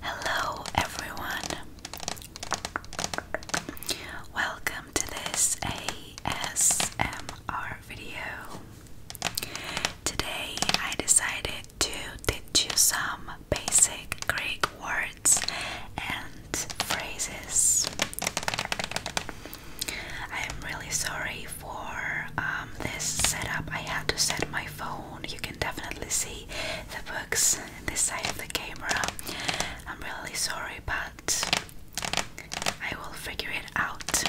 Hello, everyone. Welcome to this ASMR video. Today, I decided to teach you some basic Greek words and phrases. I am really sorry for um, this setup, I had to set my phone. You can definitely see the books this side of the camera. I'm really sorry, but I will figure it out.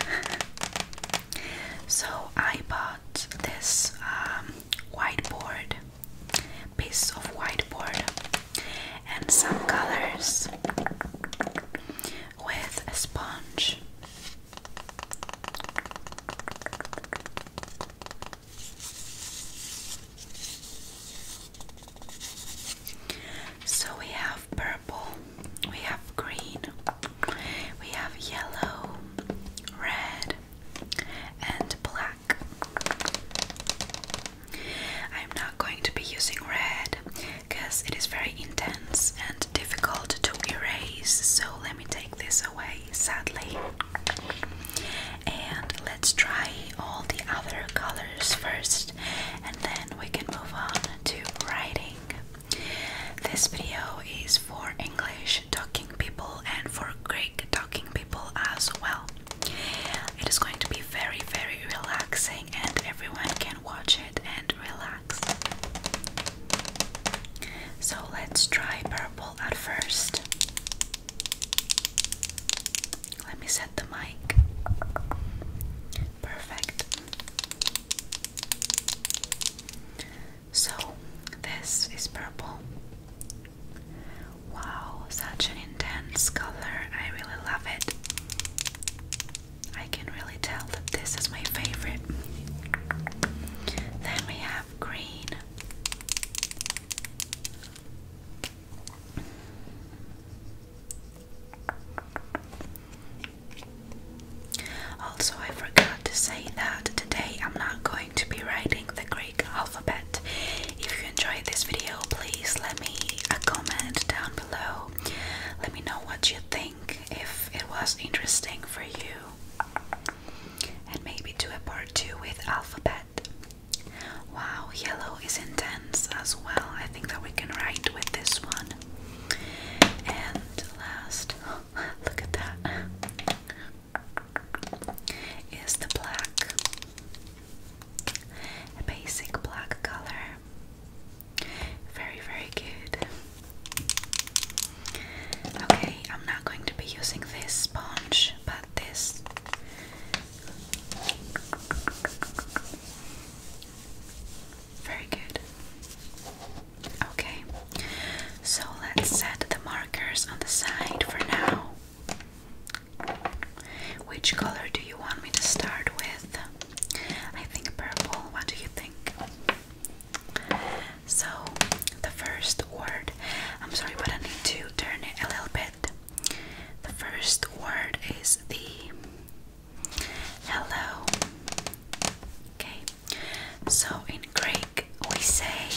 so I bought this um, whiteboard, piece of whiteboard, and some colors with a sponge. So we have purple, we have green, we have yellow, red, and black. I'm not going to be using red because it is very intense and difficult to erase, so let me take this away sadly. And let's try all the other colors first, and then we can move on to writing. This video is for English talking people and for Greek talking people as well. It is going to be very, very relaxing, and everyone can watch it and relax. So let's try purple at first. Let me set the mic. Perfect. So this is purple. Wow, such an intense color. I really love it. I can really tell that this is my favorite. Then we have green. Also, I forgot to say that today I'm not going to be writing the Greek alphabet. If you enjoyed this video, please let me a comment down below. Let me know what you think, if it was interesting for you and maybe do a part two with alphabet. Wow, yellow is intense as well. I think that we can write with this one. And last, look at that, is the black, basic black color. Very, very good. Okay, I'm not going to be using this sponge, but this. Very good. Okay, so let's set the markers on the side for now. Which color do you want me to start with? I think purple. What do you think? So, the first word, I'm sorry, but I need to turn it a little bit. The first word is the hello. Okay, so in Greek we say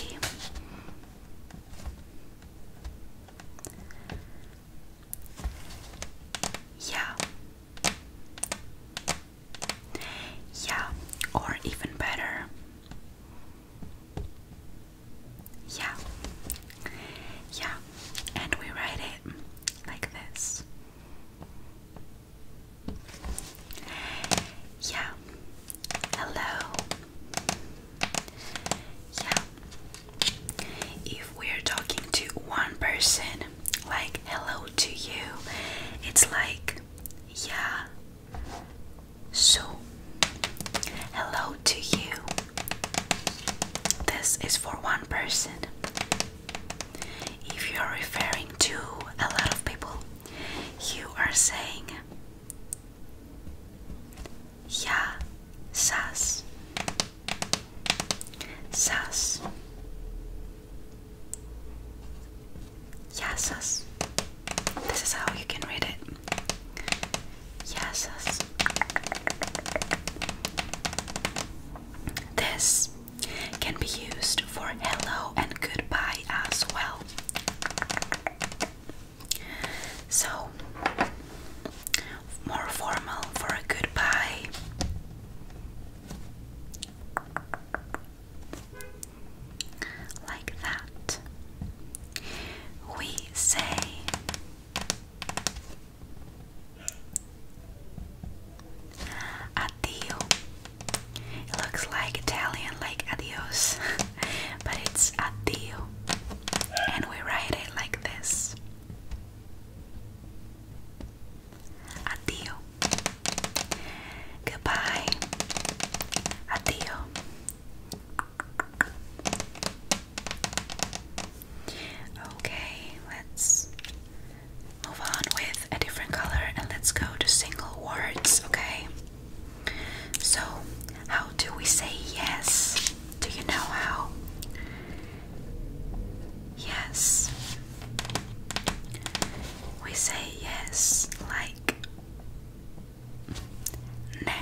yeah. Yeah, or even better. Yeah. Yeah, and we write it like this. Yeah. Hello. Yeah. If we're talking to one person, like hello to you, it's like yeah. So, hello to you. This is for one person. If you are referring to a lot of people, you are saying, Yeah, sas, sas, Yasas. This is how you can read it. Yasas. This can be used for hello and goodbye as well. So, more formal for a goodbye. Like that. We say addio. It looks like Italian, like adios, but it's addio. And we write it like this. Addio. Goodbye. Adio. Okay, let's move on with a different color and let's go to single words, okay? So, how do we say yes? Do you know how? Yes. We say yes like ne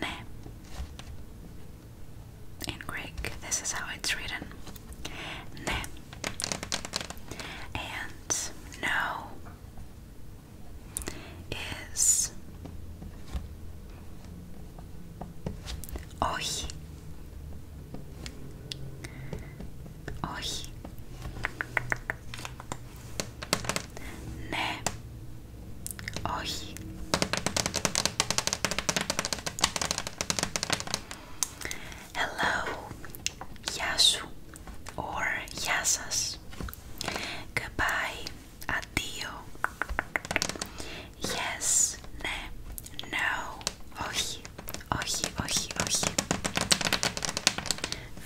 ne. In Greek, this is how it's written. Ne and no is ohi Όχι. Ναι. Όχι. Hello. Γεια σου. Or γεια σας. Goodbye. Αντίο. Yes. Ναι. No. Όχι όχι, όχι, όχι.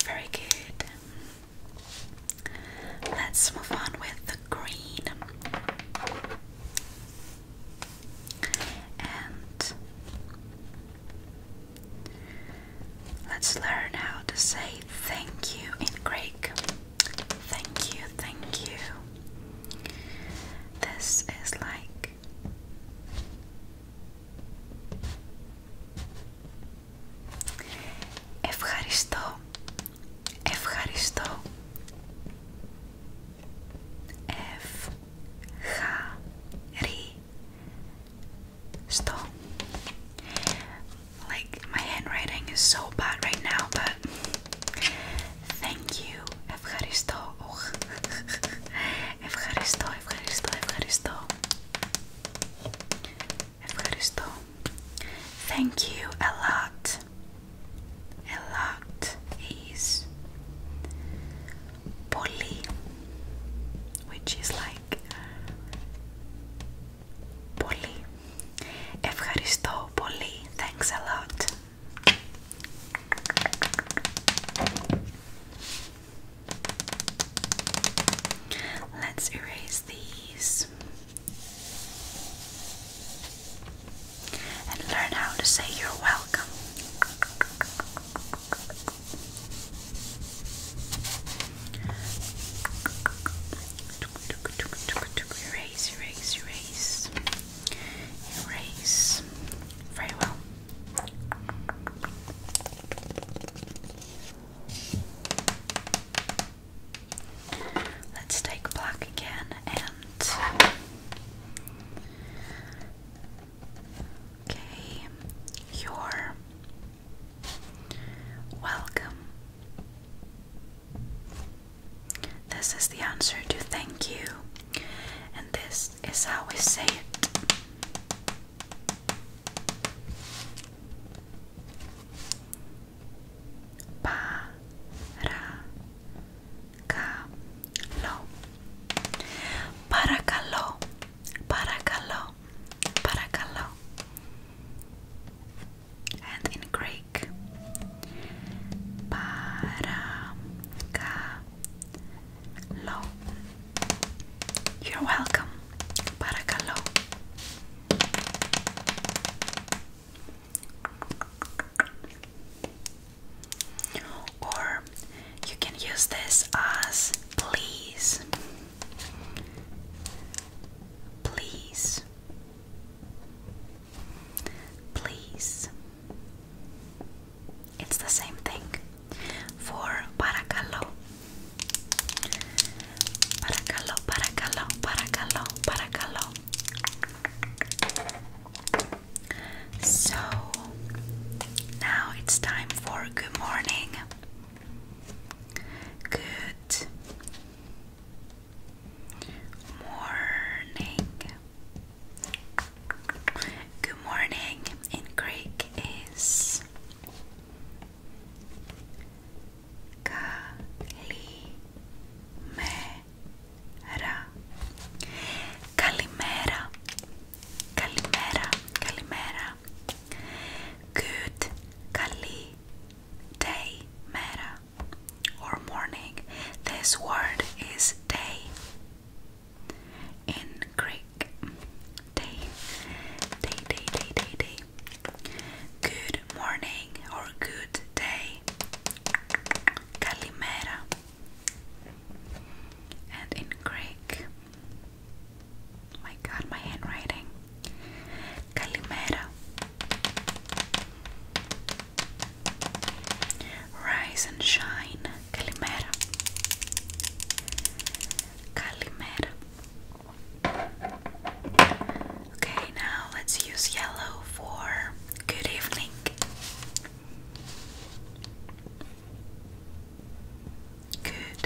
Very good. Let's move on with the green. And let's learn how to say thank you in Greek. Thank you, thank you. This is like back. Ευχαριστώ. Ευχαριστώ. F Sto. Like my handwriting is so bad right now, but Thank you. Ευχαριστώ. Oh. Ευχαριστώ, ευχαριστώ, ευχαριστώ. Ευχαριστώ. Thank you a lot. A lot is πολύ, which is like πολύ. Ευχαριστώ πολύ. Thanks a lot. Let's erase these and learn how to say you're welcome. Erase, erase, erase, erase. Very well. Let's take black again and okay, you're welcome. This is the answer to thank you, and this this is how we say it. Paracalo. Paracalo. Paracalo. Paracalo. And in Greek, para Low. You're welcome. Paracalo. Or you can use this as please. Please. Please. It's the same thing for paracalo. Paracalo, paracalo, paracalo, paracalo. So now it's time for good morning. Good morning. Good morning in Greek is Kalimera. Kalimera. Kalimera. Kalimera. Good kalimera or morning. This word is day in Greek. Day, day, day, day, day, Good morning or good day. Kalimera. And in Greek. My god, my handwriting. Kalimera. Rise and shine. Καλημέρα. Καλημέρα. Okay, now let's use yellow for good evening. Good.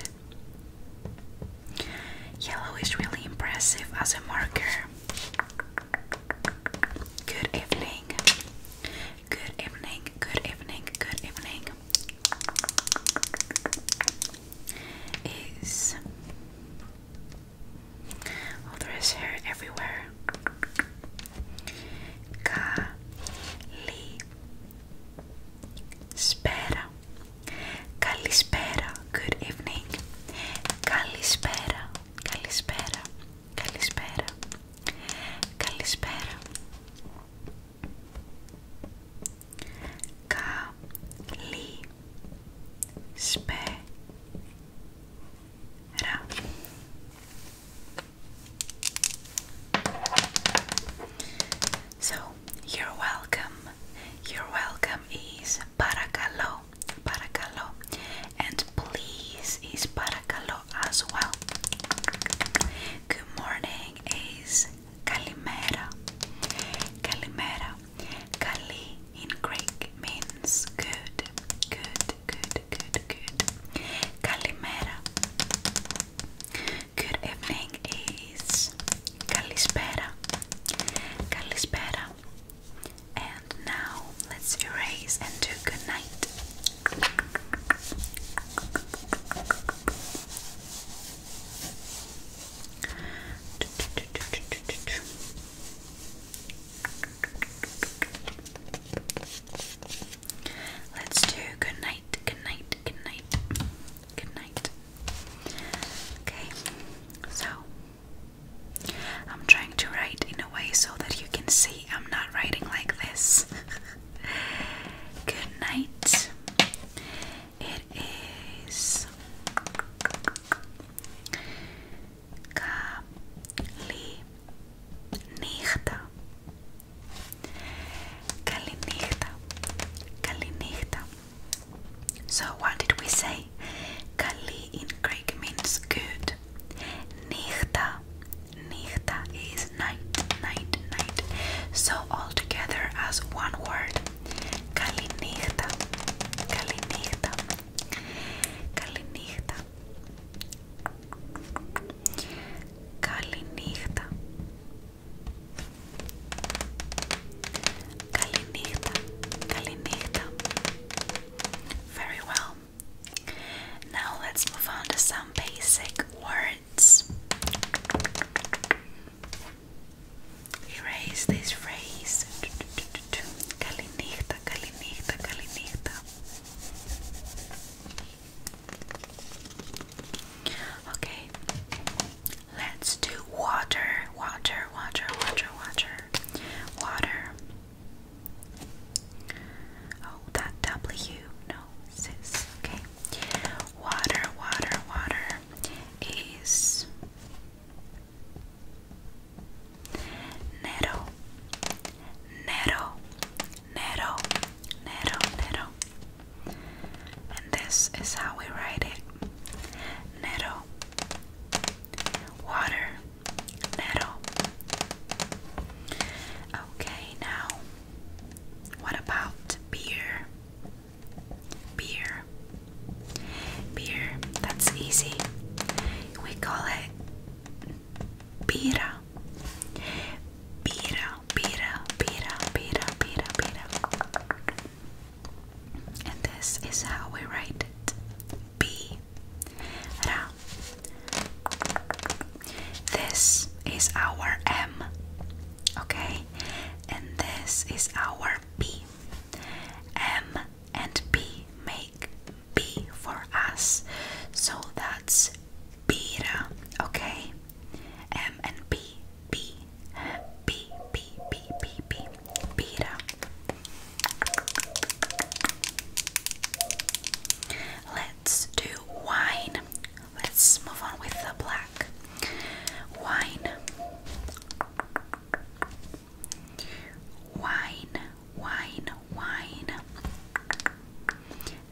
Yellow is really impressive as a marker. Good evening. Good evening, good evening, good evening. Is all oh, there is hair everywhere. Kali Spera. Kalispera. Good evening. Kalispera. Kalispera. Καλησπέρα. Καλησπέρα. Καλή σπέρα. So, you're welcome. You're welcome is παρακαλώ, παρακαλώ. And please is παρακαλώ as well. Good morning is Kalimera. Kalimera. Kali in Greek means good, good, good, good, good. Kalimera. Good evening is Kalispera. Kalispera. And now let's erase and do good night. Let's do good night, good night, good night, good night. Okay, so I'm trying to write in a way so that you can see I'm not writing like this. Good night. It is Kali Nichta. Kali Nichta. Kali Nichta. So what did we say? Kali in Greek means good. Nichta Nichta is night, night, night. So all together as one word. Kalinichta, kalinichta, kalinichta, kalinichta, kalinichta, kalinichta. Very well. Now let's move on to some basic words. Erase this phrase. Kalinichta, kalinichta, kalinichta. Okay, let's do water, water, water, water, water, water. Oh, that W. No, Okay. Water, water, water is Nero, Nero, Nero, Nero, Nero. And this is how we write it. Nero, water, Nero. Okay, now what about beer? Beer. Beer, that's easy. We call it pira. Pira, pira, pira, pira, pira, pira. And this is how we write it. P this is our M, okay? And this is our B. M and B make B for us. So that's beta, okay? M and B, B, B, B, B, B, B, beta. Let's do wine. Let's move on with the black wine. Wine, wine, wine.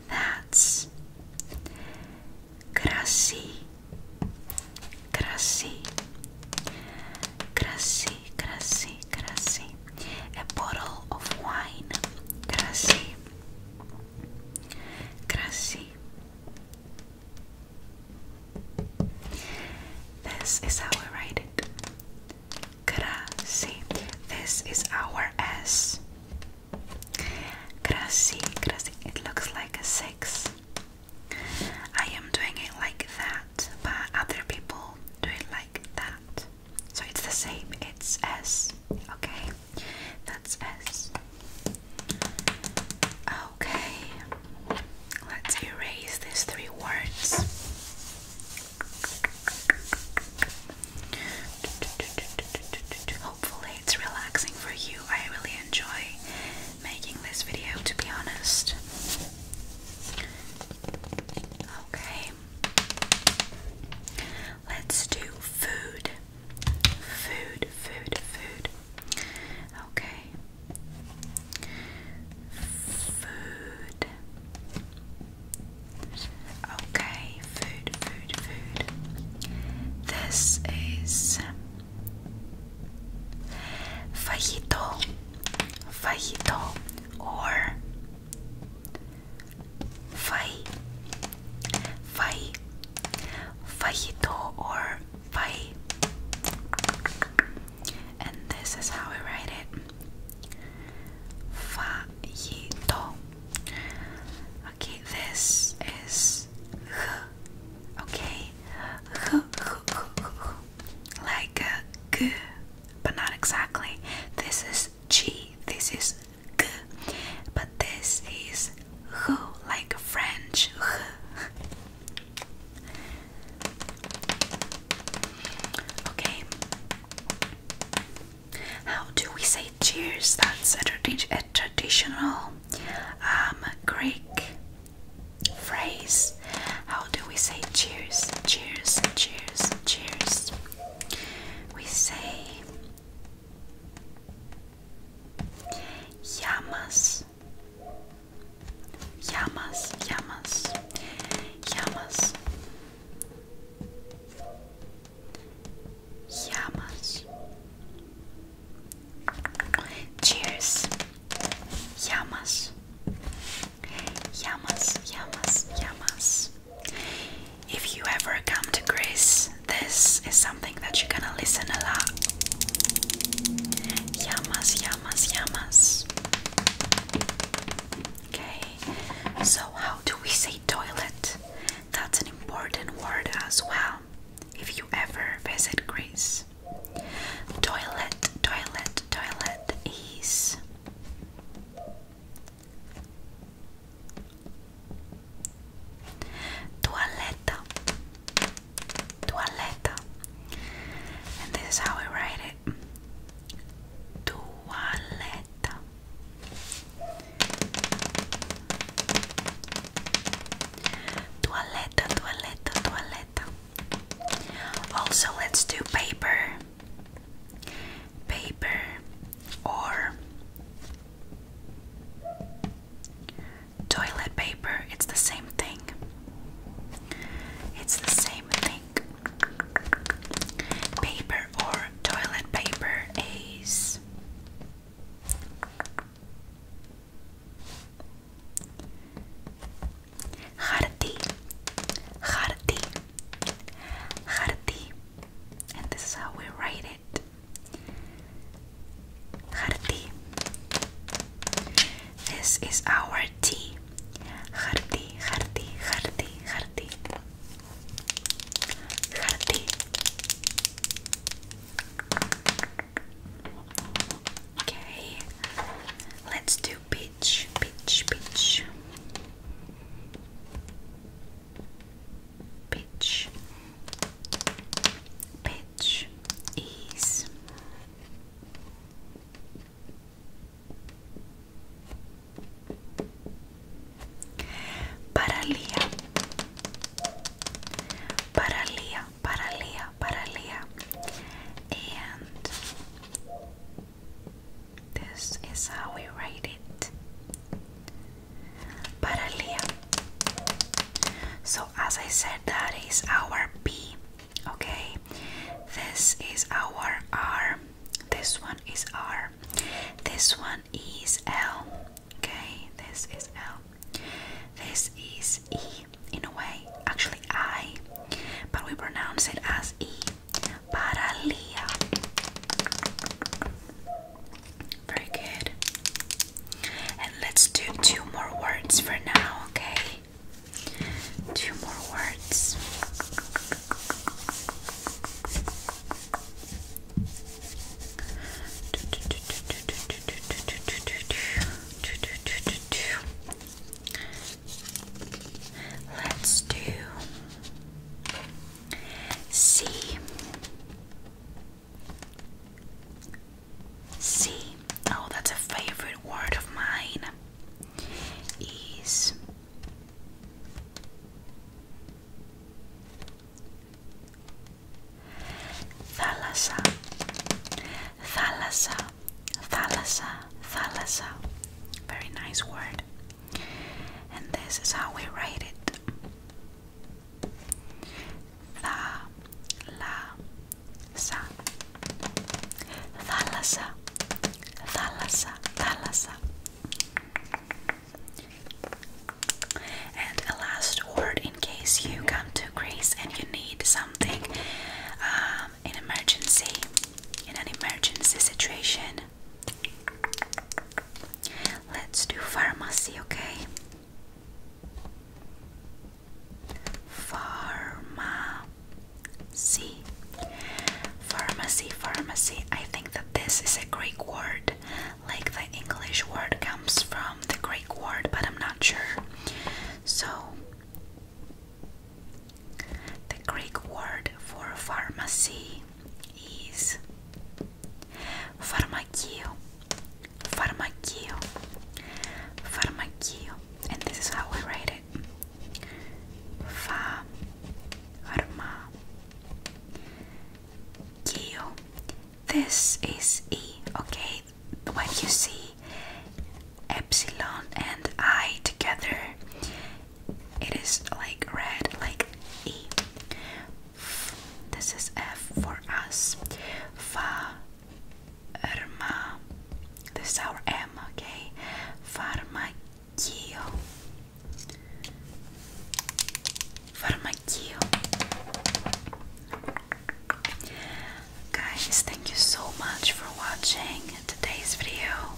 That's Grassi, Grassi, Grassi, Grassi, Grassi. A bottle of wine, Grassi. Κρασί. This is how we write it. Κρασί. This is our S. Κρασί, κρασί. It looks like a six. I am doing it like that, but other people do it like that. So it's the same, it's S. Okay? That's best. Okay, let's erase these three words. Hopefully, it's relaxing for you. I really enjoy making this video, to be honest. Okay. Let's do food. Food, food, food. Okay. Food. Okay, food, food, food. This is fajito, fajito, or Fai, fai, fajito or fai. And this is how I write it. Fajito. Okay, this is h. Okay, h, h, h, h. like a g, but not exactly. This is g. This is g, but this is who, like French. okay. How do we say cheers? That's a, traditional um, Greek phrase. How do we say cheers? Cheers, cheers, cheers. We say Llamas. Llamas, llamas, llamas. Llamas. Cheers. Llamas. Llamas, llamas, llamas. If you ever come to Greece, this is something that you're gonna listen a lot. Yamas, yamas, yamas. Okay, so how do we say toilet? That's an important word as well. If you ever visit Greece, toilet, toilet, toilet is Toaleta. Toaleta. And this is how we write it. Toaleta. Toaleta, toaleta, toaleta. Also, let's do paper paper or toilet paper. It's the same thing. It's the same thing. Paper or toilet paper is hardy, hardy, hardy, and this is how we write it. Jardí. This is our tea. Jardí, jardí, jardí, jardí. Jardí. Okay. Let's do beach, beach, beach. Pitch. Pitch ease. Paralia. Paralia, paralia, paralia. And this is how we write it. Paralia. So as I said, that is our P. Okay, this is our R. This one is R. This one is L. Okay, this is L. This is E in a way, actually I, but we pronounce it as E. Paralia. Very good. And let's do two more words for now, okay? Two more words. Let's do C See, oh, that's a favorite word of mine. Is Thalassa, Thalassa, Thalassa, Thalassa. Very nice word. And this is how we write it. Θα, λα, σα. Θάλασσα, θάλασσα, θάλασσα. And a last word in case you come to Greece and you need something um, in emergency, in an emergency situation. Let's do pharmacy, okay? Pharmacy. Pharmacy, pharmacy. I think that this is a Greek word. Like the English word comes from the Greek word, but I'm not sure. So, the Greek word for pharmacy Oi. Isso. Farmacio. Farmacio. And this is how we write it. Fa. Arma. This is E, okay? When you see epsilon and I together, it is like red, like E. This is F for us. Pharma. This is our M, okay? Pharmakio. Pharmakio. Guys, thank you so much for watching today's video.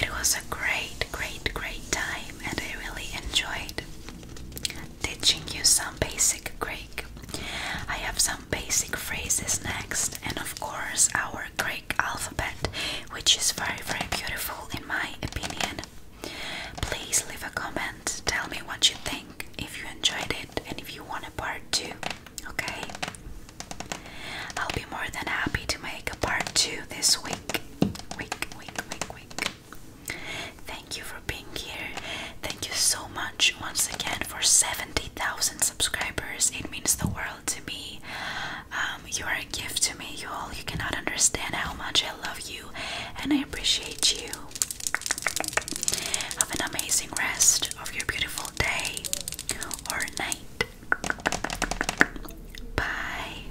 It was a great, great, great time, and I really enjoyed teaching you some basic Greek. I have some basic phrases next, and of course, our Greek alphabet, which is very, very beautiful in my opinion. Please leave a comment, tell me what you think, if you enjoyed it, and if you want a part 2. Okay? I'll be more than happy to make a part 2 this week. Week, week, week, week. Thank you for being here. Thank you so much once again for 70,000 subscribers. It means the world to me. Um, you are a gift to me, you all. You cannot understand how much I love you and I appreciate you. Have an amazing rest of your beautiful day or night. Bye.